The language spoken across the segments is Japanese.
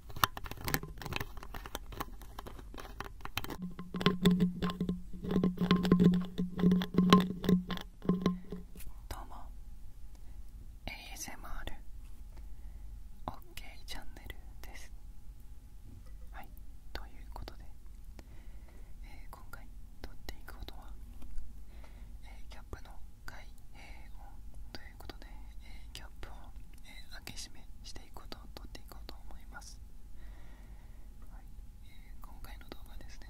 どうも ASMR オッケーチャンネルですはいということで、え今回撮っていくことは、えキャップの開閉音ということで、えキャップを、え開け閉めしてことを撮っていこうと思います、はい今回の動画はですね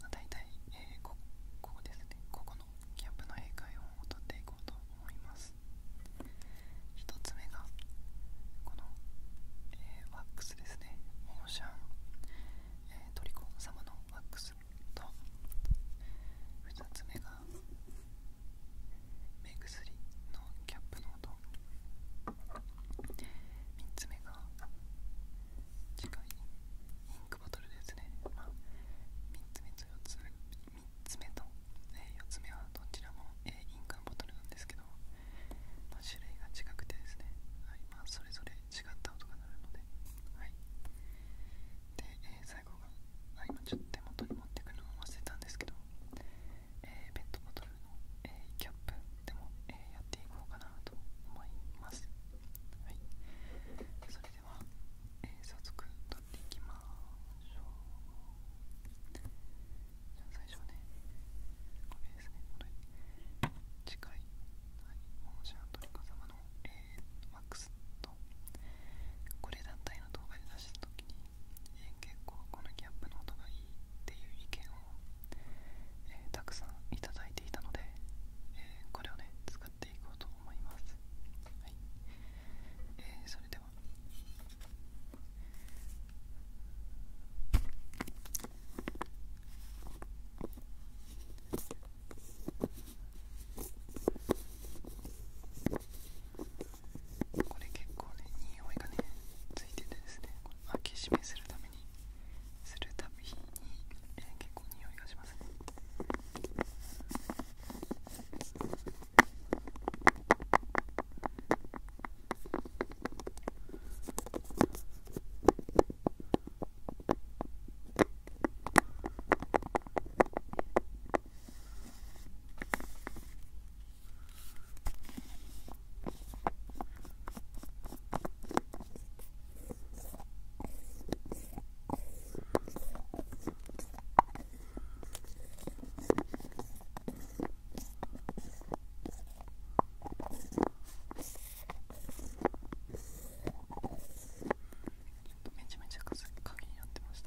だいたい、えここですねここのキャップの英会話を撮っていこうと思います1つ目がこの、ワックスですねオーシャン、トリコ様のワックスと2つ目が目薬のキャップの音3つ目が次回インクボトルですね、ま3つ目と4つ3つ目と、え4つ目はどちらも、えインクボトルなんですけど、ま種類が違くてですね、はいまそれぞれ違った音が鳴るので、はい、で、え最後が、あ今ちょっと手元に持ってくのを忘れたんですけど、えー、ペットボトルの、えー、キャップでも、えー、やっていこうかなと思いますはいそれでは、えー、早速取っていきましょうじゃあ最初はねこれですねこれ近い、はい、モーシャントリ様の、えー、マックスとこれ団体の動画で出したときにえ結構このギャップの音がいいっていう意見を、たくさんいただいていたので、えこれをね使っていこうと思いますはい、えそれではえー、これ結構ね匂いがねついててですね開け閉めするためにするたびに、え結構匂いがしますねことめちゃめちゃ風が鍵になってました。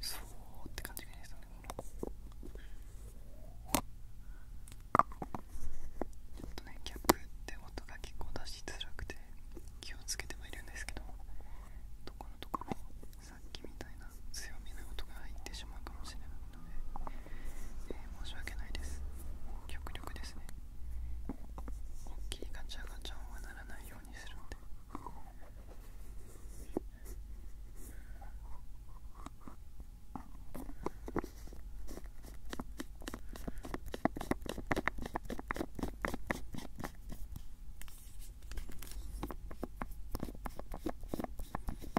そうって感じがいいですよねこちょっとねギャップって音が結構出しづらくて気をつけてはいるんですけどどこのところさっきみたいな強めの音が入ってしまうかもしれないので、え申し訳ないです極力ですね大きいガチャガチャ音はならないようにするんでえ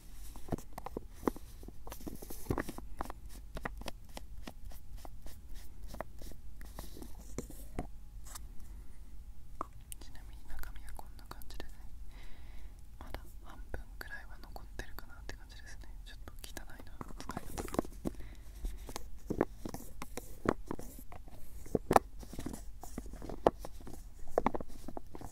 ちなみに中身はこんな感じでねまだ半分くらいは残ってるかなって感じですねちょっと汚いな使い方が。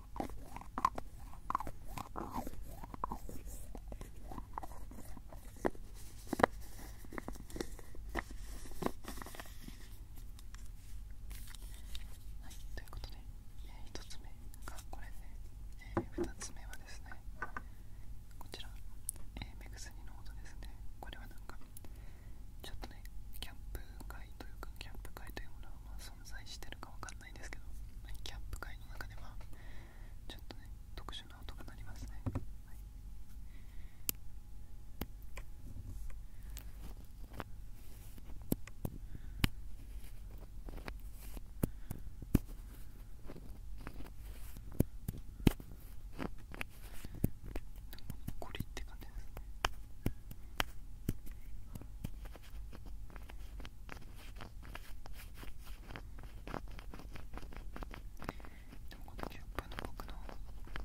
はい、ということで、え1つ目がこれで、ね、え2つ目はですねこちら、メー、スニの音ですねこれはなんかちょっとねキャンプ会というかキャンプ会というものが存在してるかわからんないんですけど、はい、キャンプ会の中ではちょっとね特殊な音が鳴りますね、はいゴリって感じですね。でもこのキャップの僕の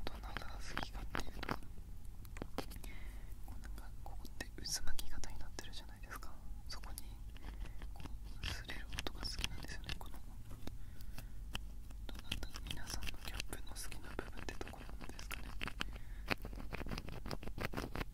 どんな音が好きかっていうとこうなんかここって渦巻き型になってるじゃないですかそこにこう擦れる音が好きなんですよねこのどなんだ皆さんのキャップの好きな部分ってどこなんですかね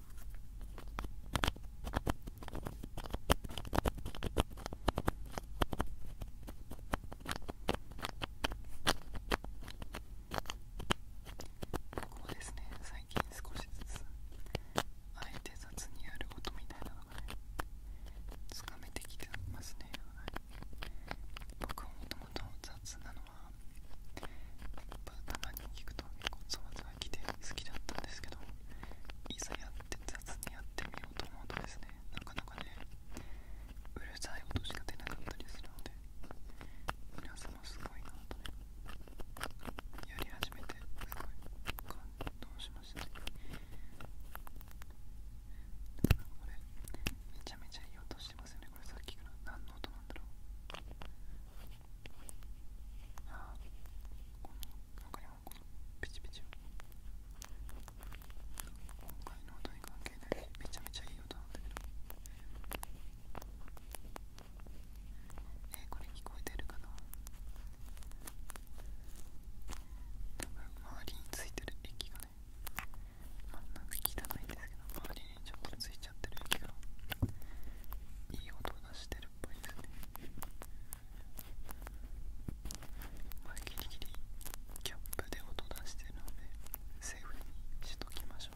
ここですね最近少しずつあえて雑にやることみたいなのがねつかめてきてますね、はい、僕もともと雑なのはやっぱたまに聞くと結構ざわざが来て好きだったんですけどいざやって雑にやってみようと思うとですねなかなかねうるさい音しか出なかったりするので皆さんもすごいなとねやり始めてすごい感動しました、ね、これめちゃめちゃいい音してますよねこれさっきから何の音なんだろうああ。この中にもこのピチピチ今回の音に関係ないめちゃめちゃいい音なんだけどえー、これ聞こえてるかな多分周りについてる液がねまあなか汚いんですけど周りにちょっとついちゃってる液がいい音を出してるっぽいですねまあ、ギリギリキャップで音出してるのでセーフにしときましょう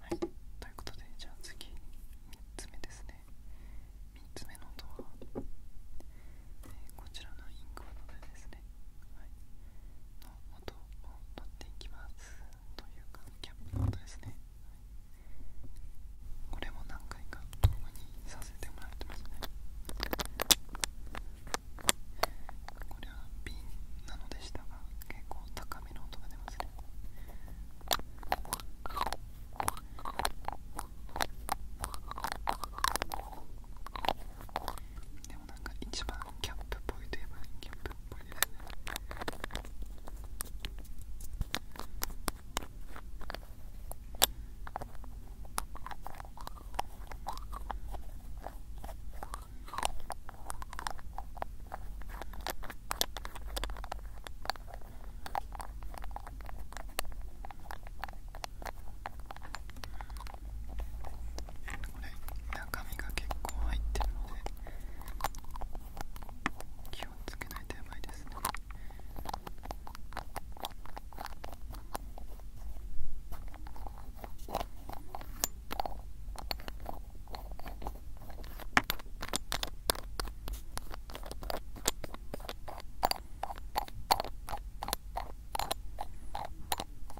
はい、ということでじゃあ次3つ目ですね3つ目の音は、えこちらのインクをのでですね、はい、音を取っていきますというかキャップの音ですねこれも何回か動にさせてもらってますねこれは瓶なのでしたが結構高めの音が出ますね一番キャンプっぽいといえばキャンプっぽいですねこれ中身が結構入ってるので気をつけないとやばいですねこ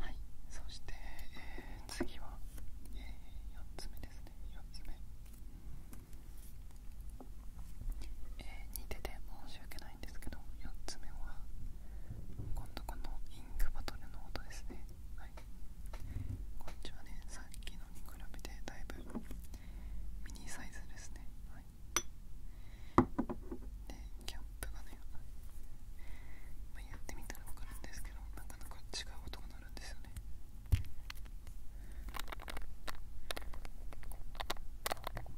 はいそして、え次は、えー、4つ目ですね4つ目えー、似てて申し訳ない。ですけど4つ目は今度このインクバトルの音ですねはいこっちはねさっきのに比べてだいぶミニサイズですねはいでキャップがね、まやってみたら分かるんですけどなかなか違う音が鳴るんですよね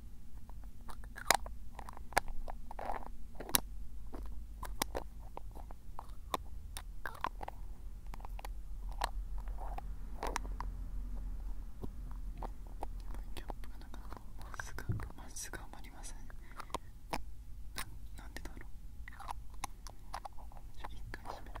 キャップがなかなかまっすぐまっすぐはまりませんななんでだろう一回閉める。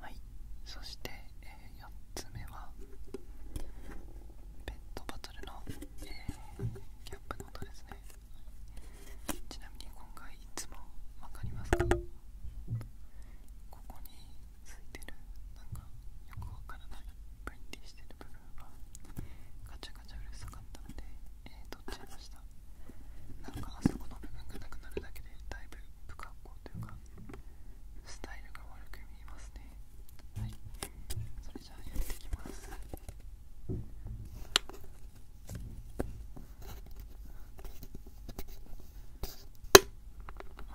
はいそして、え4つ目はペットボトルの、えー、ャップの音ですねちなみに今回いつもわかりますかここについてるなんかよくわからないプリンティーしてる部分がガチャガチャうるさかったので、えー、取っちゃいましたなんかあそこの部分がなくなるだけでだいぶ不格好というかスタイルが悪く見えますねはいそれじゃあやっていきますう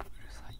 るさいはい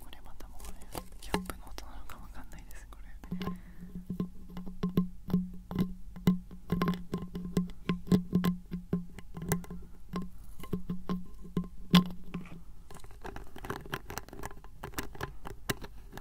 これまたもうねキャップの音なのかわかんないですこれ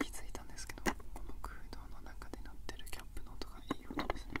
気づいたんですけどこの空洞の中で鳴ってるキャップの音がいい音ですね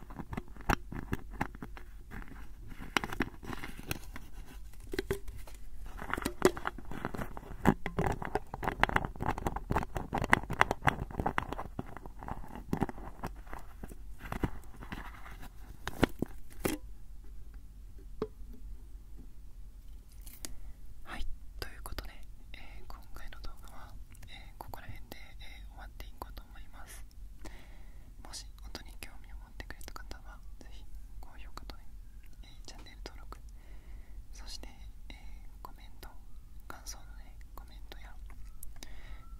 はいということで、今回の動画は、ここら辺で、終わっていこうと思いますもし音に興味を持ってくれた方はぜひ高評価と、えチャンネル登録そして、えコメント感想の、ね、コメントや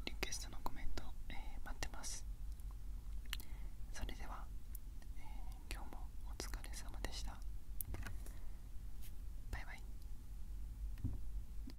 リクエストのコメント、え待ってますそれでは、今日もお疲れ様でしたバイバイ